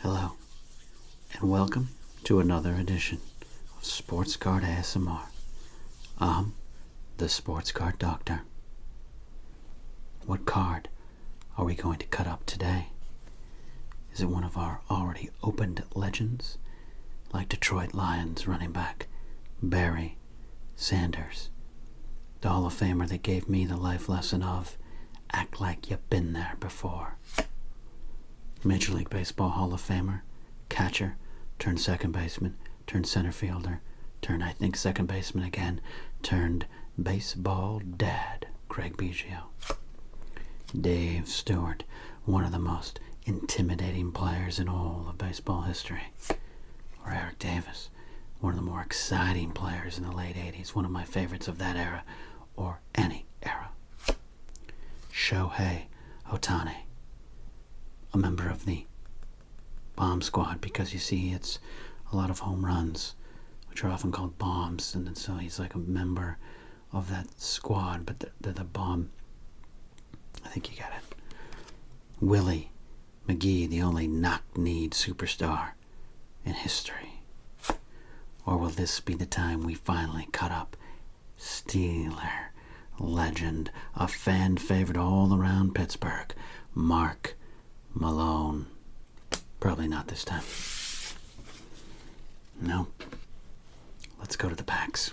Hello, and welcome to another edition of Sports Card ASMR. I'm the Sports Card Doctor. What card are we going to cut up today? Is it one of our already opened legends, like Detroit Lions running back Barry Sanders? the Hall of Famer that gave me the life lesson of act like you've been there before. Major League Baseball Hall of Famer, catcher, turned second baseman, turned center fielder, turned, I think, second baseman again, turned baseball dad, Craig Biggio. Dave Stewart, one of the most intimidating players in all of baseball history, or Eric Davis one of the more exciting players in the late 80s, one of my favorites of that era or any era. Shohei Otani, a member of the bomb squad because you see it's a lot of home runs, which are often called bombs, and so he's like a member of that squad, but they're the bomb. I think you got it. Willie McGee, the only knock-kneed superstar in history? Or will this be the time we finally cut up Steeler, legend, a fan favorite all around Pittsburgh, Mark Malone? Probably not this time. No. Let's go to the packs.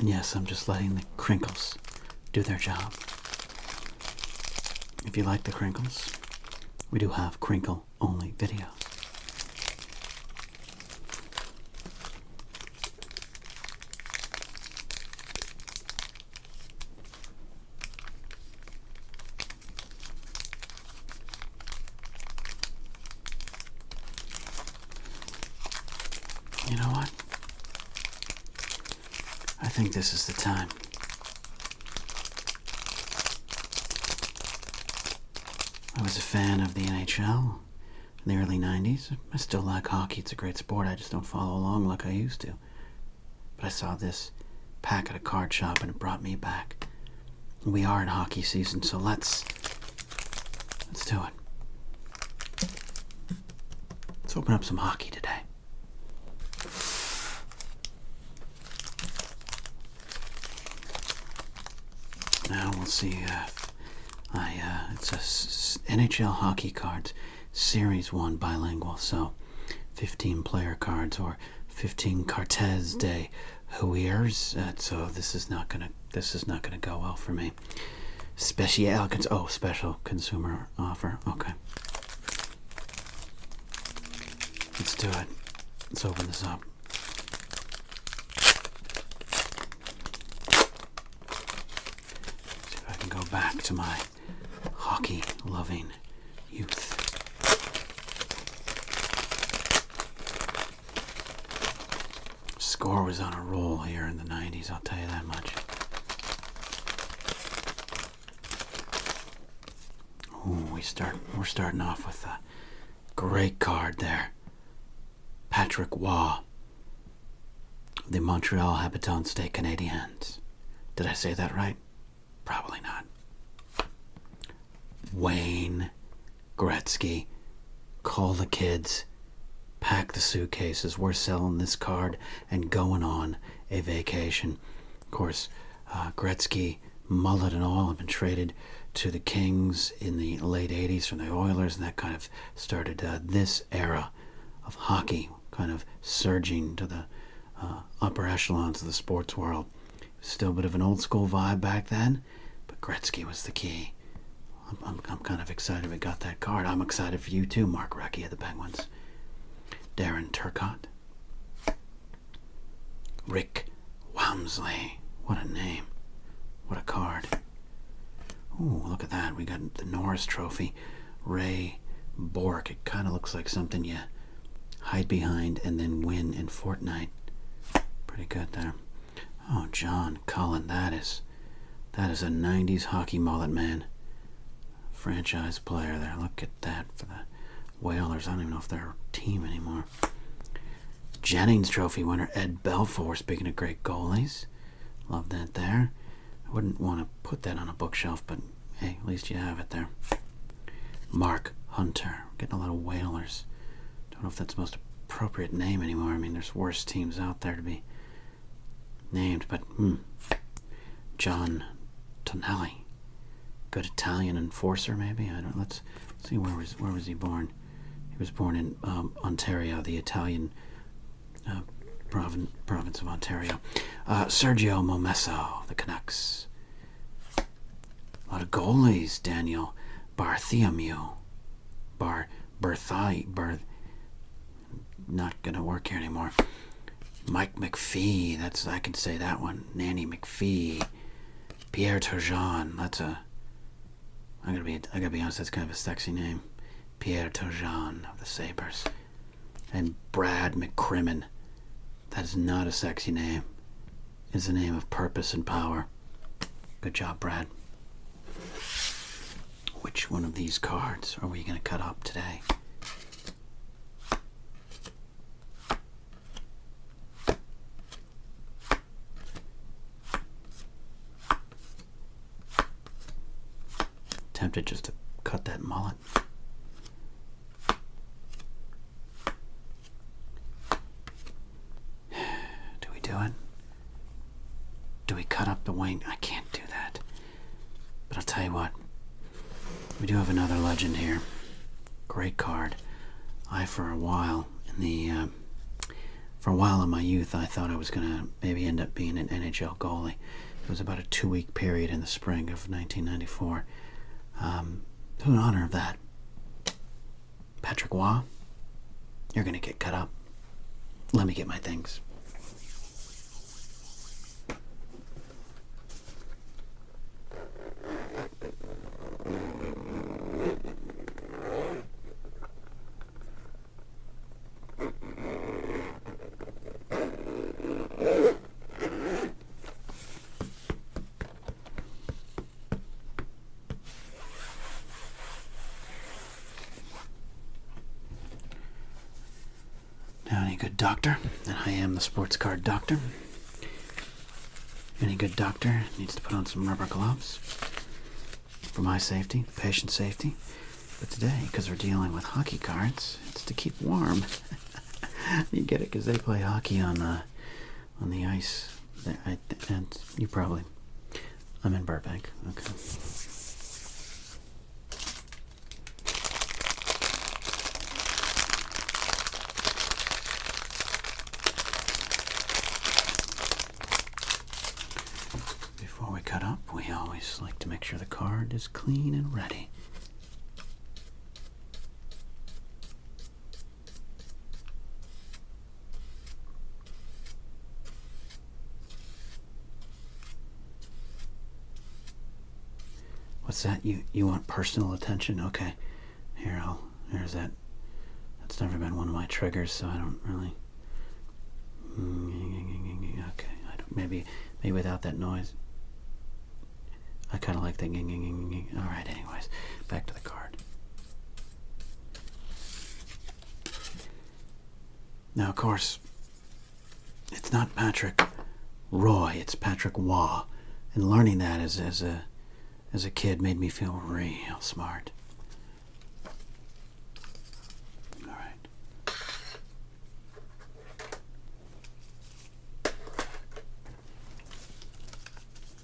And yes, I'm just letting the crinkles do their job. If you like the crinkles, we do have crinkle only video. You know what? I think this is the time. I was a fan of the NHL in the early 90s. I still like hockey. It's a great sport. I just don't follow along like I used to. But I saw this pack at a card shop and it brought me back. We are in hockey season, so let's let's do it. Let's open up some hockey today. Now we'll see. Uh, I uh, it's a S NHL hockey cards series one bilingual, so 15 player cards or 15 Cartes de Huiers. Uh, so this is not gonna this is not gonna go well for me. Special oh special consumer offer. Okay. Let's do it. Let's open this up. See if I can go back to my hockey loving youth. Score was on a roll here in the 90s, I'll tell you that much. Ooh, we start we're starting off with a great card there. Patrick Waugh, the Montreal Habitant State Canadiens. Did I say that right? Probably not. Wayne Gretzky, call the kids. Pack the suitcases. We're selling this card and going on a vacation. Of course, uh, Gretzky, Mullet, and all have been traded to the Kings in the late 80s from the Oilers, and that kind of started uh, this era of hockey kind of surging to the uh, upper echelons of the sports world. Still a bit of an old school vibe back then, but Gretzky was the key. I'm, I'm, kind of excited we got that card. I'm excited for you too, Mark Recky of the Penguins. Darren Turcott. Rick Walmsley. What a name. What a card. Ooh, look at that. We got the Norris Trophy. Ray Bork. It kind of looks like something you hide behind and then win in Fortnite. Pretty good there. Oh, John Cullen, that is, that is a '90s hockey mullet man. Franchise player there. Look at that for the Whalers. I don't even know if they're a team anymore. Jennings Trophy winner Ed Belfour. Speaking of great goalies, love that there. I wouldn't want to put that on a bookshelf, but hey, at least you have it there. Mark Hunter. getting a lot of Whalers. Don't know if that's the most appropriate name anymore. I mean, there's worse teams out there to be named, but hmm, John Tonelli, good Italian enforcer, maybe. I don't. Let's see where was where was he born? He was born in um, Ontario, the Italian uh, province province of Ontario. Uh, Sergio Momesso, the Canucks. A lot of goalies, Daniel Bartholomew. Bar Berthai Bar not gonna work here anymore. Mike McPhee, that's I can say that one. Nanny McPhee. Pierre Turgeon, that's a gonna be I gotta be honest, that's kind of a sexy name. Pierre Turgeon of the Sabres. And Brad McCrimmon. That is not a sexy name. It's a name of purpose and power. Good job, Brad. Which one of these cards are we going to cut up today? Tempted just to cut that mullet. Do we do it? Do we cut up the wing? I can't do that. But I'll tell you what. We do have another legend here. Great card. I, for a while, in the, um, for a while in my youth, I thought I was going to maybe end up being an NHL goalie. It was about a two-week period in the spring of 1994. Um, in honor of that, Patrick Waugh, you're gonna get cut up. Let me get my things. Now, any good doctor, and I am the sports card doctor, any good doctor needs to put on some rubber gloves for my safety, patient safety. But today, because we're dealing with hockey cards, it's to keep warm. you get it because they play hockey on the uh, on the ice. and you probably. I'm in Burbank. Okay. Before we cut up, we always like to make sure the card is clean and ready. What's that? You you want personal attention? Okay. Here, I'll. There's that. That's never been one of my triggers, so I don't really. Okay. I don't, maybe maybe without that noise. I kind of like that. All right. Anyways, back to the card. Now, of course, it's not Patrick Roy, it's Patrick Waugh. And learning that as, as, a, as a kid made me feel real smart. All right.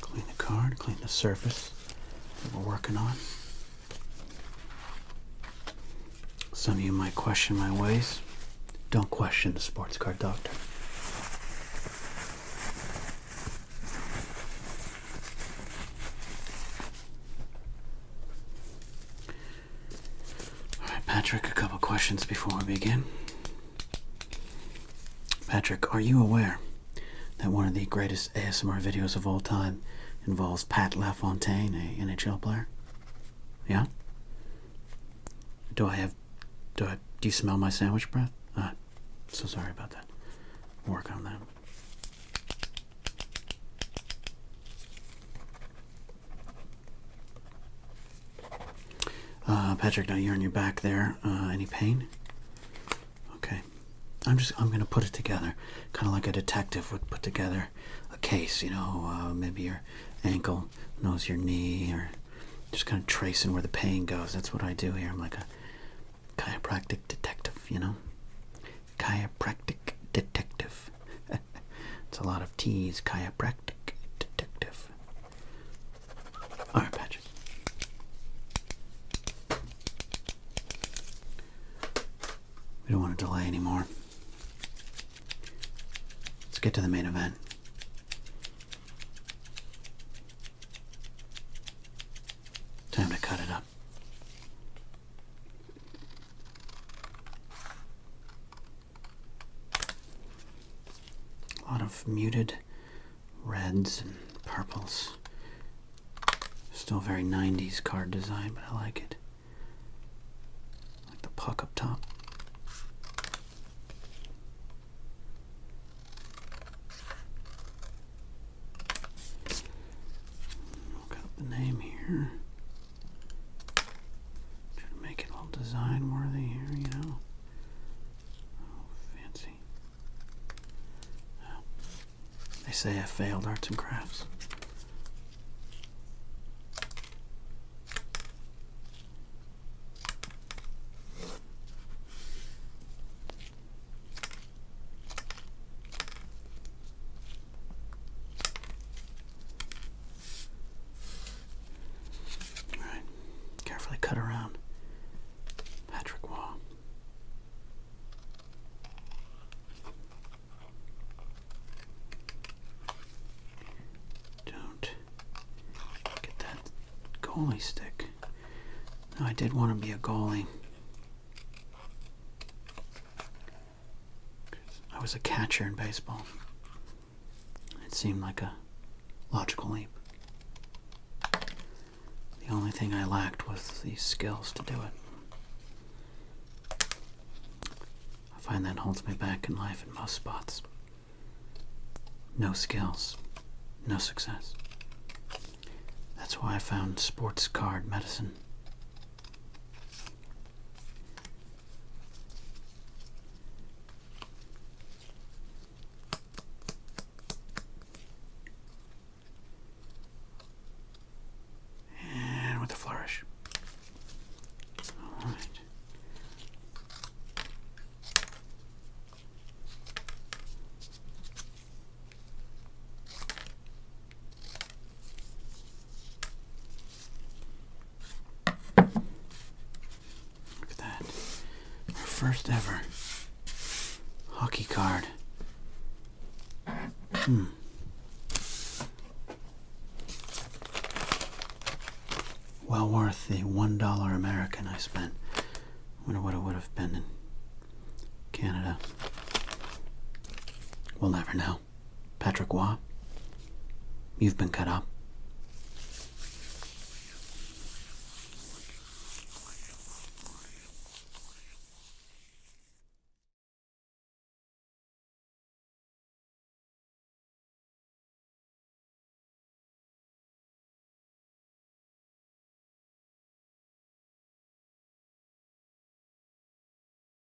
Clean the card, clean the surface that we're working on. Some of you might question my ways. Don't question the sports card doctor. All right, Patrick, a couple questions before we begin. Patrick, are you aware that one of the greatest ASMR videos of all time involves Pat LaFontaine, a NHL player? Yeah? Do I have do I do you smell my sandwich breath? Ah, so sorry about that. Work on that. Uh, Patrick, now you're on your back there. Uh, any pain? Okay. I'm just, I'm going to put it together. Kind of like a detective would put together a case, you know, uh, maybe your ankle knows your knee or just kind of tracing where the pain goes. That's what I do here. I'm like a chiropractic detective, you know? Chiropractic detective. it's a lot of T's. Chiropractic detective. Alright, Patrick. We don't want to delay anymore. Let's get to the main event. Time to cut it up. A lot of muted reds and purples. Still very 90s card design, but I like it. like the puck up top. Look up the name here. Trying to make it all design worthy here, you know. Oh, fancy. They say I failed arts and crafts. Alright, carefully cut around Patrick Wall. Don't get that goalie stick. I did want to be a goalie. I was a catcher in baseball. It seemed like a logical leap. The only thing I lacked was the skills to do it. I find that holds me back in life in most spots. No skills, no success. That's why I found sports card medicine. And with a flourish. All right. Look at that. Our first ever hockey card. Hmm. Well worth the $1 American I spent. Wonder what it would have been in Canada. We'll never know. Patrick Waugh. You've been cut up.